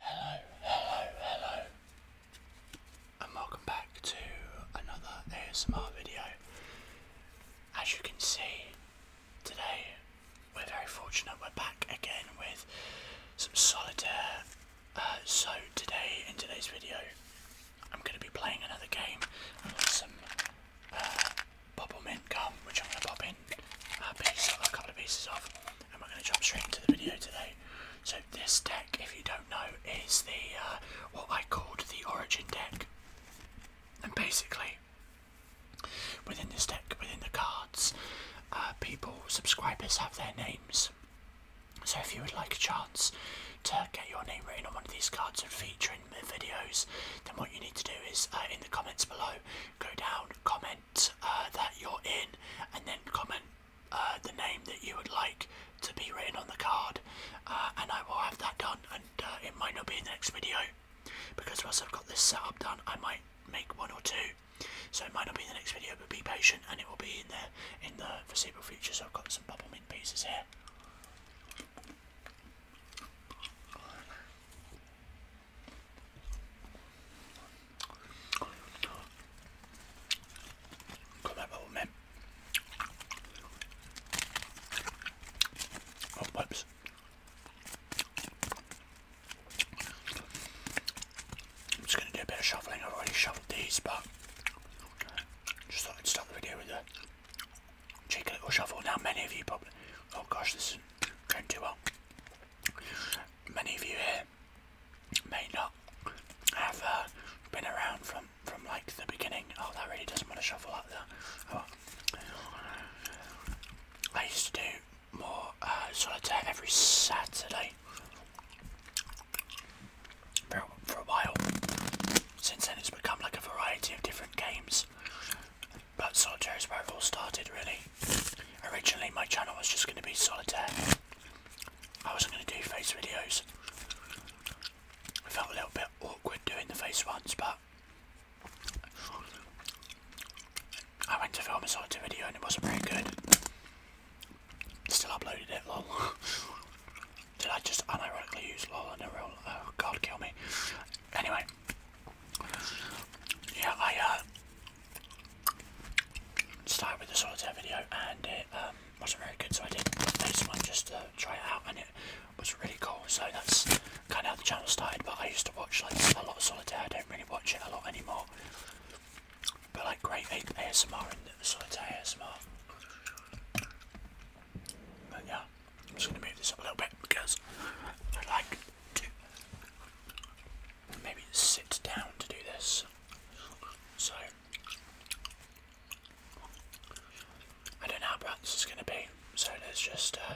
Hello, hello, hello, and welcome back to another ASMR video. As you can see, today we're very fortunate we're back again with some solitaire. Uh, so, today, in today's video, I'm going to be playing another game with some uh, bubble mint gum, which I'm going to pop in a, uh, piece, a couple of pieces off and we're going to jump straight into the video today. So this deck, if you don't know, is the uh, what I called the Origin deck, and basically within this deck, within the cards, uh, people, subscribers have their names. So if you would like a chance to get your name written on one of these cards and feature in the videos, then what you need to do is uh, in the comments below, go down, comment uh, that you're in and then comment uh, the name that you would like to be written on the card uh, and I will have that done and it might not be in the next video because once I've got this setup done I might make one or two so it might not be in the next video but be patient and it will be in there in the foreseeable future so I've got some bubble mint pieces here Come on, man. Oh, whoops. I'm just going to do a bit of shuffling. I've already shuffled these, but just thought I'd start the video with a cheeky little shuffle. Now, many of you probably, oh gosh, this isn't going too well. Many of you here may not have uh, been around from from like the beginning. Oh, that really doesn't want to shuffle like that. Oh. I used to do more uh, solitaire every Saturday for, for a while. Since then, it's become like a variety of different games. But solitaire is where it all started, really. Originally my channel was just going to be solitaire. I wasn't going to do face videos. I felt a little bit awkward doing the face ones but I went to film a solitaire video and it wasn't very good. Still uploaded it lol. Did I just unironically use lol and a real oh god kill me. Anyway yeah I uh Start with the solitaire video and it um, wasn't very good, so I did this one just to try it out, and it was really cool. So that's kind of how the channel started. But I used to watch like a lot of solitaire. I don't really watch it a lot anymore. But like great ASMR and solitaire ASMR. But yeah, I'm just gonna move this up a little bit because I like to maybe sit down to do this. So I don't know how this is going to be. So let's just uh,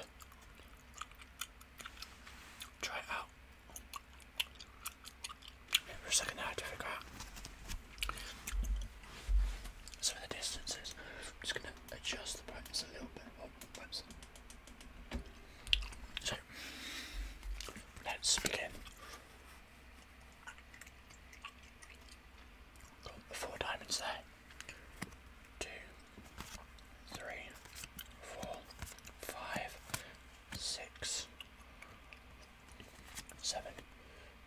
try it out. For a second, I have some of the distances. I'm just going to adjust the brightness a little bit. Oh, so let's begin. four diamonds there. Two, three, four, five, six, seven.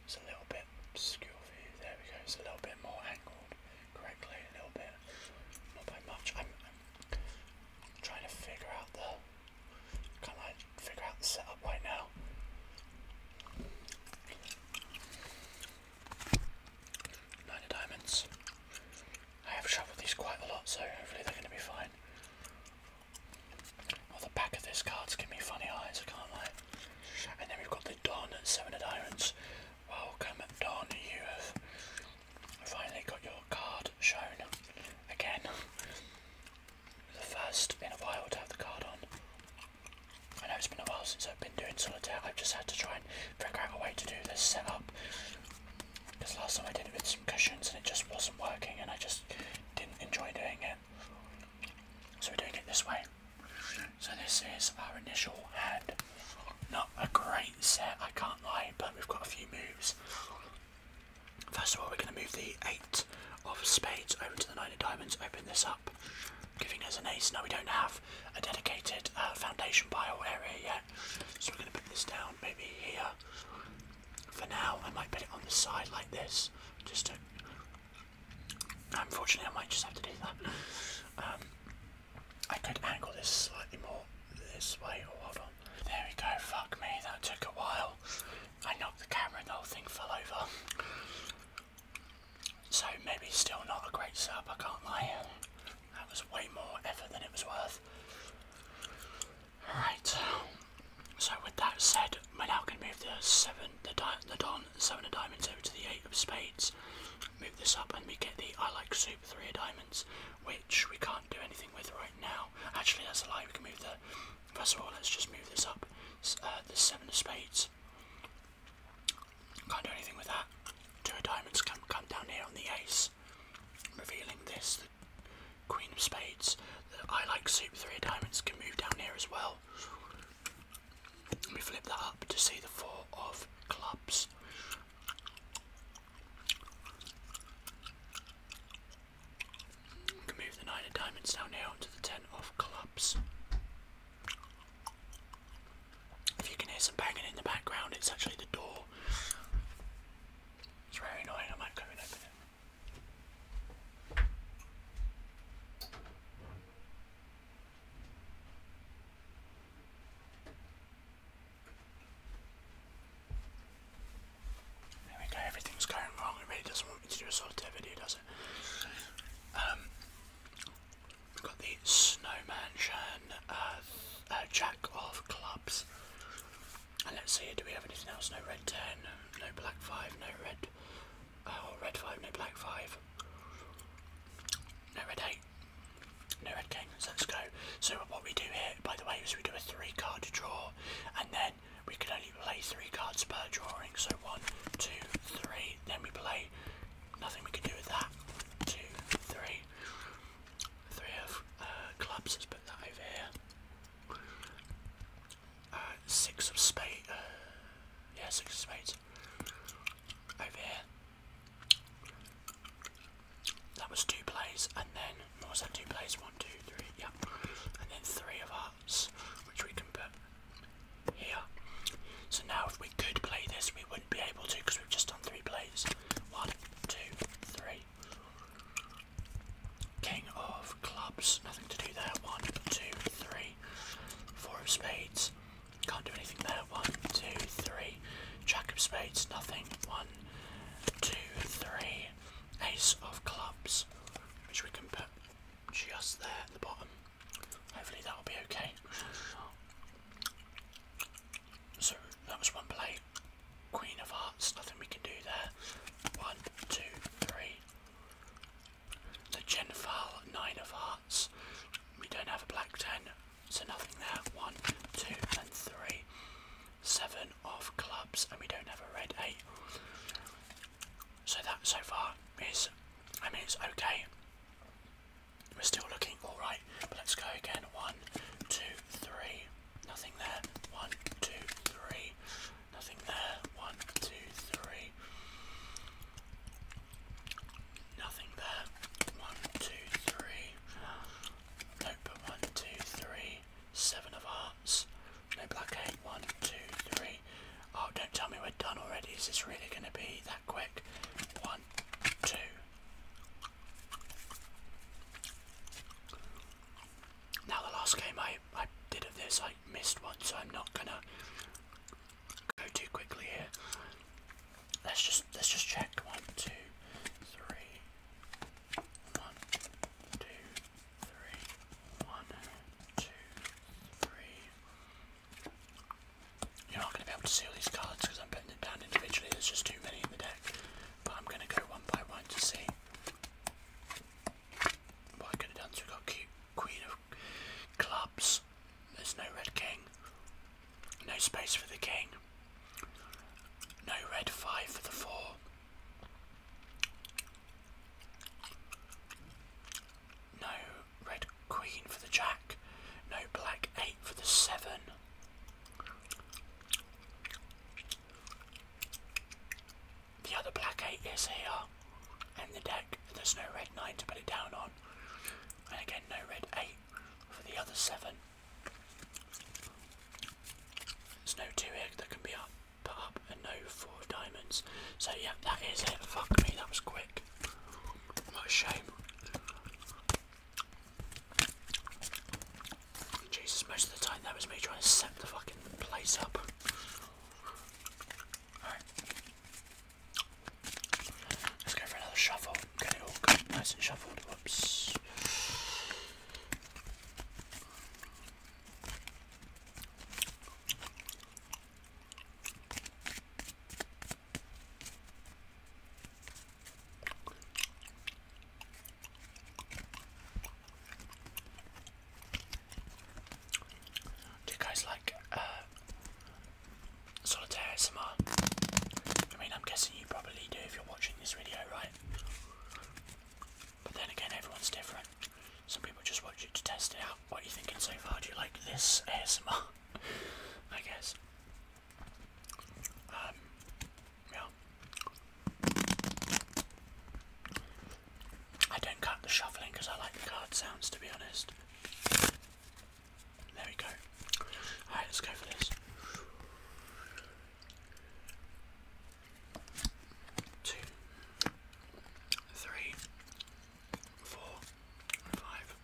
It's a little bit obscure view. There we go. It's a little bit more angled correctly. A little bit, not by much trying to figure out the kind of figure out the setup right now. Nine of diamonds. I have shuffled these quite a lot, so hopefully they're going to be fine. Well, the back of this card's giving me funny eyes, I can't lie. And then we've got the Don at seven of diamonds. Welcome, Don. You have I Finally got your card shown again. the first in a while to have the card on. I know it's been a while since I've been doing solitaire, I've just had to try and figure out a way to do this setup. Because last time I did it with some cushions and it just wasn't working and I just didn't enjoy doing it. So we're doing it this way. So this is our initial hand. Not a great set, I can't lie, but we've got a few moves First of all, we're going to move the eight of spades over to the nine of diamonds, open this up, giving us an ace. Now we don't have a dedicated uh, foundation pile area yet, so we're going to put this down maybe here. For now, I might put it on the side like this, just to. Unfortunately, I might just have to do that. Um, I could angle this slightly more this way. or oh, whatever. There we go, fuck me, that took a while. I knocked the camera and the whole thing fell over. So maybe still not a great sub, I can't lie. That was way more effort than it was worth. Alright, so with that said, we're now going to move the seven, the, diamond, the Don, seven of diamonds over to the eight of spades. Move this up and we get the I like super three of diamonds, which we can't do anything with right now. Actually, that's a lie. We can move the. First of all, let's just move this up. Uh, the seven of spades. Can't do anything with that. Two diamonds can come down here on the ace, revealing this. The queen of spades. The I like soup. Three diamonds can move down here as well. We flip that up to see the four of clubs move the nine of diamonds down here onto the ten of clubs. If you can hear some banging in the background, it's actually the door. It's very annoying, I might go and open there everything's going wrong. Everybody doesn't want me to do a video, does it? Um, we've got the Snowman Shan uh, uh, Jack of Clubs. And let's see, do we have anything else? No red 10, no black 5, no red, uh, red 5, no black 5, no red 8, no red king, so let's go. So what we do here, by the way, is we do a three card draw, and then we can only play three cards per drawing. So one, two, three. Then we play. Nothing we can do with that. Two, three, three of uh, clubs. Let's put that over here. Uh, six of spades. Uh, yeah, six of spades. Over here. That was two plays, and then what was that? Two plays, one, two, three, yeah, and then three of hearts, which we can put here. So now, if we could play this, we wouldn't be able to because we've just done three plays. One, two, three. King of clubs, nothing to do there. One, two, three. Four of spades, can't do anything there. One, two, three. Jack of spades, nothing. One, two, three, ace of clubs, which we can put just there at the bottom. Hopefully that'll be okay. So that was one play. Queen of hearts, nothing we can do there. One, two, three. The Genfile nine of hearts. We don't have a black ten. So nothing there. One, two, and three. Seven of clubs, and we don't have a red eight. So that so far is, I mean, it's okay. We're still looking alright, let's go again. One, two, three. Nothing there. One, two, three. Nothing there. One, two, three. Nothing there. One, two, three. No, one, two, three, seven of hearts. No black eight. One, two, three. Oh, don't tell me we're done already. Is this really going to be that quick? One, two. Now the last game I, I did of this, I missed one, so I'm not gonna go too quickly here. Let's just let's just check. One, two, three, one, two, three. One, two, three. You're not going to be able to see all these cards because I'm putting them down individually. There's just too many in the deck. But I'm going to go one by one to see. What I could done so we got Queen of Clubs. There's no Red King. No space for the King. No red, five for the four. No red queen for the jack. No black, eight for the seven. The other black eight is here and the deck. There's no red nine to put it down on. And again, no red eight for the other seven. There's no two here that can be up, put up, and no four of diamonds. So yeah, that is it. Fuck me, that was quick. What a shame. Jesus, most of the time that was me trying to set the fucking place up. Alright. Let's go for another shuffle. Get all nice and shuffled. Whoops. Do you guys like uh, solitaire I mean, I'm guessing you probably do if you're watching this video, right? But then again, everyone's different. Some people just watch it to test it out. What are you thinking so far? Do you like this ASMR? I guess. Um, yeah. I don't cut the shuffling because I like the card sounds, to be honest. There we go. Alright, let's go for this two, three, four, five,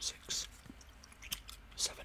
six, seven.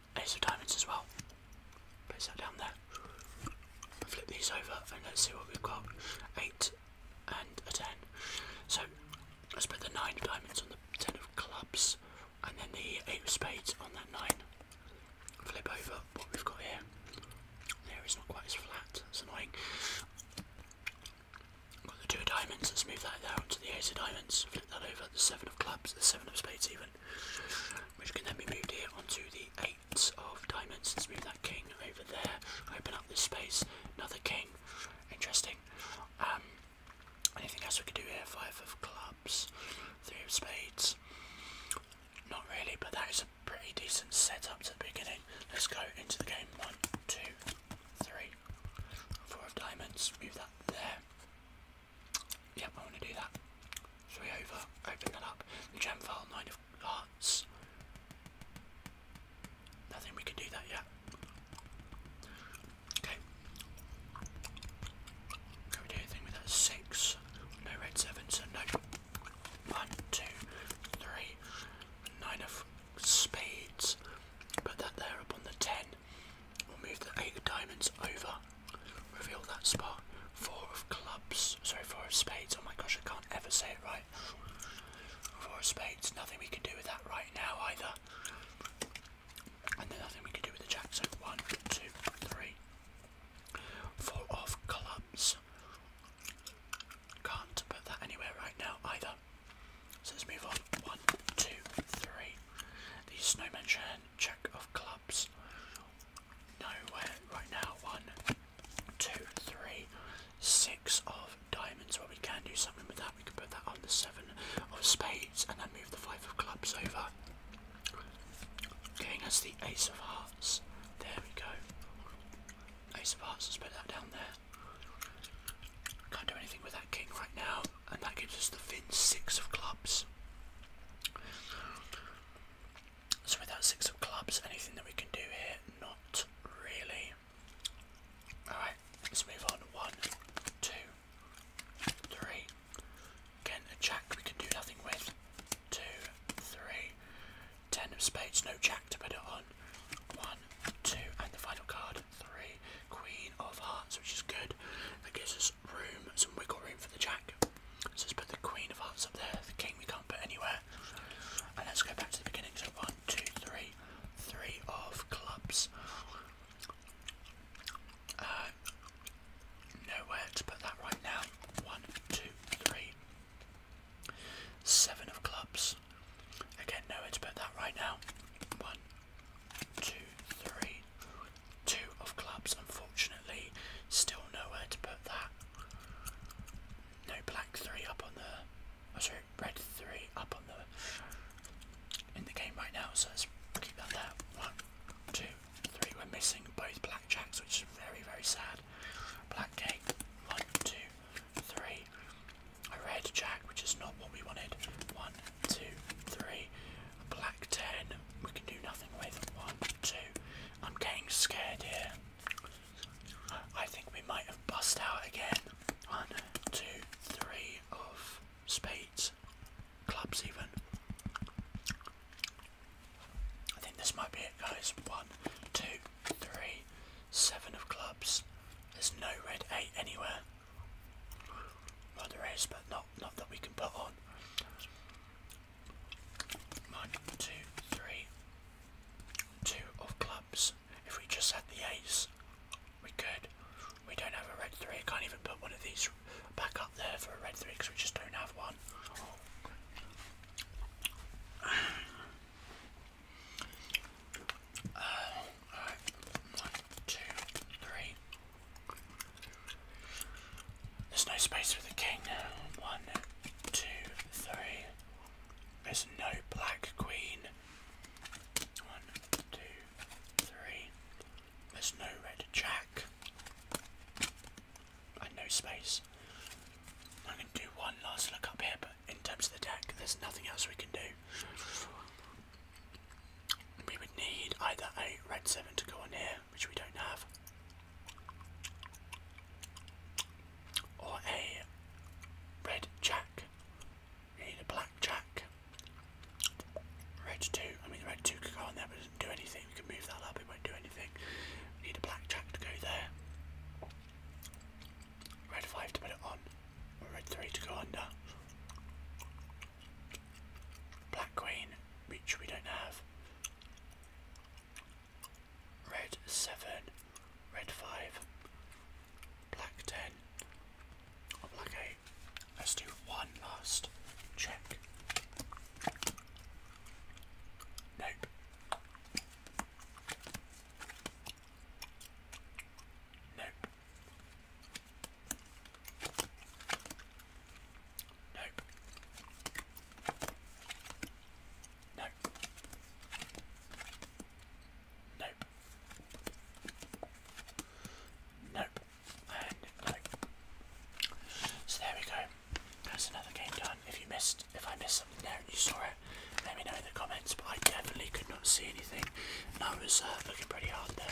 Ace of diamonds as well. Place that down there. Flip these over and let's see what we've got. Eight and a ten. So I'll spread the nine of diamonds on the ten of clubs and then the eight of spades on that nine. Flip over what we've got here. There is not quite as flat, that's annoying. Got the two of diamonds, let's move that there to the ace of diamonds, flip that over, the seven of clubs, the seven of spades even seven. Which can then be moved here onto the eight of diamonds. Let's move that king over there. Open up this space. Another king. Interesting. Um, anything else we could do here? Five of clubs. Three of spades. Not really, but that is a pretty decent setup to the beginning. Let's go into the game. One, two, three, four of diamonds. Move that there. Yep, I want to do that. we over, open that up. The gem file, nine of hearts. Nothing we can do that yet. Okay. Can we do anything with that? Six. No red seven, so no. One, two, of spades. Put that there upon the ten. We'll move the eight diamonds over. Reveal that spot. Four of clubs. Sorry, four of spades. Oh my gosh, I can't ever say it right. Four of spades. Nothing we can do with that right now either. And then nothing we can do with the jack. So one, two, three. Four of clubs. Can't put that anywhere right now either. So let's move on. One, two, three. The Snowman Check of Clubs. Nowhere right now. One, two, three, six of diamonds. Well, we can do something with that. We can put that on the seven of spades and then move the five of clubs over. Giving us the ace of hearts. There we go. Ace of hearts, let's put that down there. Can't do anything with that king right now and that gives us the thin six of clubs. So with that six of clubs, anything that we can do here, not really. Alright, let's move on. One, two, three. Again, a jack we can do nothing with. Two, three. Ten of spades, no jack to put it on. One, two, and the final card, three. Queen of hearts, which is good. That gives us room, some wiggle room for the jack. So let's put the queen of hearts up there, the king we can't put anywhere. And let's go back to the beginning. So one, two, three, three of clubs. Uh, nowhere to put that right now. One, two, three. Seven of clubs. Again, nowhere to put that right now. One, two, three, two of clubs. Unfortunately, still nowhere to put that. No black three up on the. Oh, sorry, red three up on the. In the game right now, so let's keep that there. One, two, three. We're missing both black jacks, which is very, very sad. Black cake. One, two, three. A red jack, which is not what we wanted. One, two, three. Black 10, we can do nothing with. 1, 2. I'm getting scared here. I think we might have bust out again. 1, 2, 3 of spades. Clubs, even. I think this might be it, guys. 1, 2, 3, 7 of clubs. There's no red 8 anywhere. Well, there is, but not not that we can put on. One, two, three, two of clubs. If we just had the ace, we could. We don't have a red three. I can't even put one of these back up there for a red three because we just don't have one. Uh, alright, one, two, three, there's no space for the king. One, two, three. There's no black queen. One, two, three. There's no red jack. And no space. I'm going to do one last look up here, but in terms of the deck, there's nothing else we can do we would need either a red 7 to go on here, which we don't have, or a red jack. We need a black jack. Red 2, I mean, the red 2 could go on there, but it doesn't do anything. We can move that up, it won't do anything. We need a black jack to go there. Red 5 to put it on, red 3 to go under. Black Queen, which we don't have. Red 7, Red 5, Black 10, Black 8. Let's do one last check. Nope. Nope. Nope. Nope. Nope. Nope. And So there we go. That's another game done. If you missed, if I missed something there and you saw it, let me know in the comments. But I definitely could not see anything, I was uh, looking pretty hard there.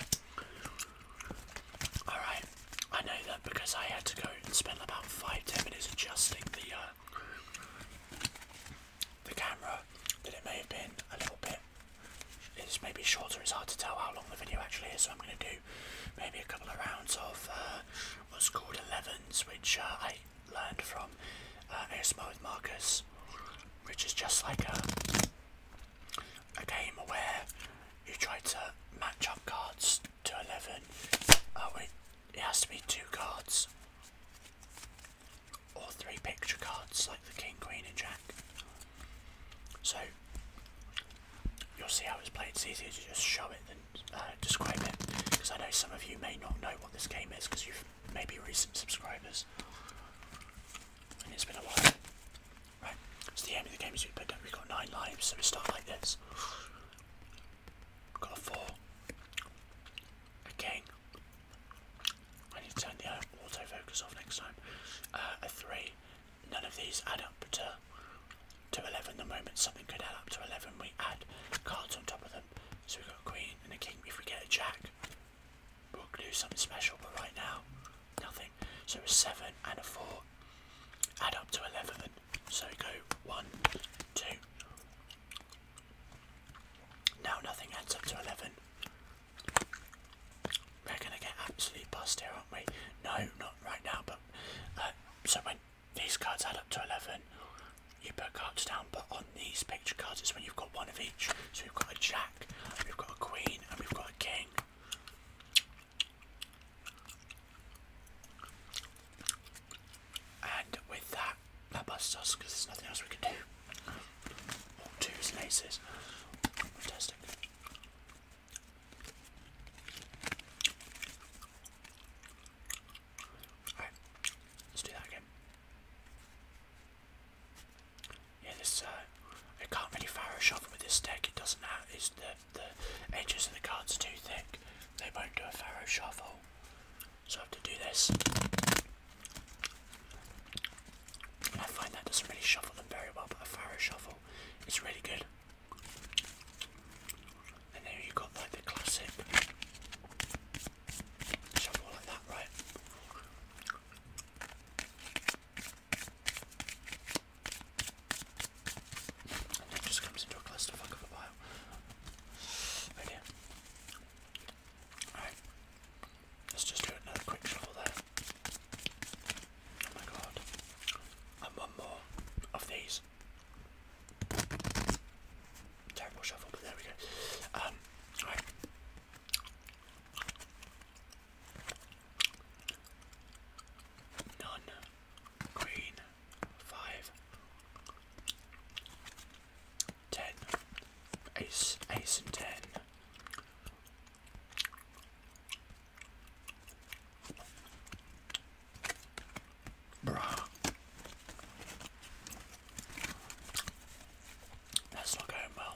Alright, I know that because I had to go and spend about five, ten minutes adjusting the uh, the camera that it may have been a little bit it's maybe shorter, it's hard to tell how long the video actually is, so I'm gonna do maybe a couple of rounds of uh, what's called 11s, which uh, I learned from A.S.M.O. with Marcus, which is just like a a game where you try to match up cards to 11. Oh, wait, it has to be two cards or three picture cards like the king, queen, and jack. So you'll see how it's played. It's easier to just show it than uh, describe it because I know some of you may not know what this game is because you've maybe recent subscribers it's been a while. Right, so the aim of the game is we play we've got nine lives, so we start like this. Got a four. A king. I need to turn the autofocus off next time. Uh, a three. None of these add up to to 11 the moment something could add up to 11 we add cards on top of them so we've got a queen and a king if we get a jack we'll do something special but right now nothing. So a seven and a four add up to eleven. So go one, two. Now nothing adds up to eleven. We're gonna get absolutely bust here, aren't we? No, not right now. But uh, so when these cards add up to eleven, you put cards down. But on these picture cards, it's when you've got one of each. So you have got a jack, you have got a queen, and you have got a king. And with that, that busts us because there's nothing else we can do. two is Fantastic. Alright, let's do that again. Yeah, this uh, I can't really fire a shot with this deck. It doesn't have is the the edges of the cards are too thick. They won't do a pharaoh shuffle, so I have to do this. I find that doesn't really shuffle them very well, but a pharaoh shuffle it's really good. And there you got like the classic shuffle like that, right? And it just comes into a clusterfuck of a pile. Right Alright. Let's just do another quick shuffle there. Oh my god. And one more of these. Terrible shuffle, but there we go. Um, alright. None. Green. Five. Ten. Ace. Ace and ten. Bruh. That's not well.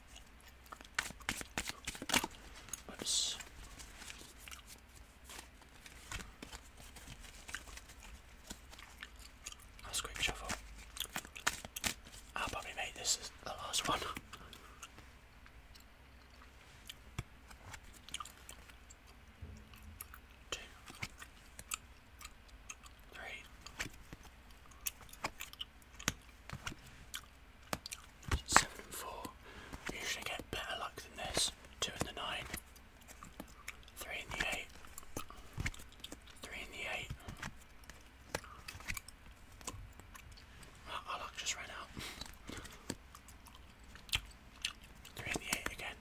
Oops. shuffle. I'll probably make this as the last one. Two, three, Seven four. Usually get better luck than this. Two in the nine. Three in the eight. Three in the eight. Oh, luck just ran out. Three in the eight again.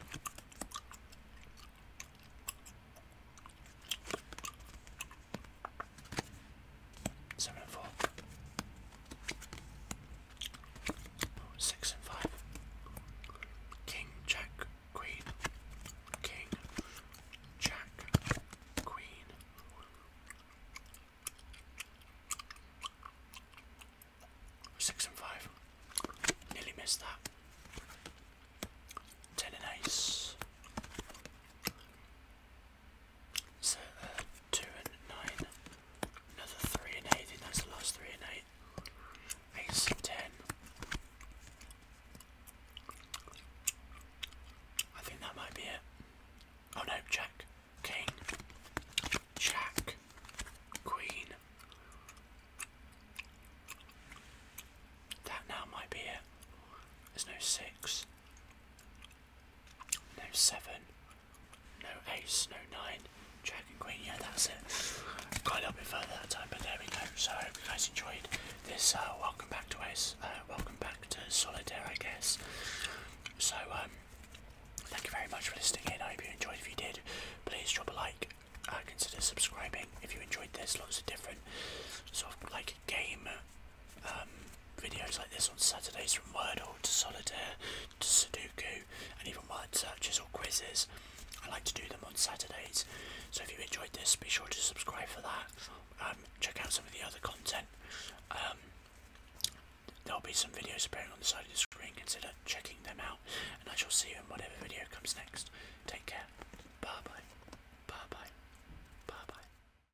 Seven and four. Oh, six and five. King, Jack, Queen. King, Jack, Queen. Six and five. Nearly missed that. Ten and ace. So uh, 2 and 9, another 3 and 8, I that's the last 3 and 8. Ace of 10. I think that might be it. Oh no, Jack, King, Jack, Queen. That now might be it. There's no six. No seven. No ace. No nine. Jack and queen. Yeah, that's it. Got a little bit further that time, but there we go. So I hope you guys enjoyed this. Uh, welcome back to Ace. Uh, welcome back to Solitaire, I guess. So um, thank you very much for listening I hope you enjoyed. If you did, please drop a like. Uh, consider subscribing if you enjoyed this. Lots of different so like game um, videos like this on Saturdays from Wordle to Solitaire to Sudoku and even word searches or quizzes. I like to do them on Saturdays. So if you enjoyed this, be sure to subscribe for that. Um, check out some of the other content. Um, there'll be some videos appearing on the side of the screen. Consider checking them out. And I shall see you in whatever video comes next. Take care. Bye bye. Bye bye. Bye bye.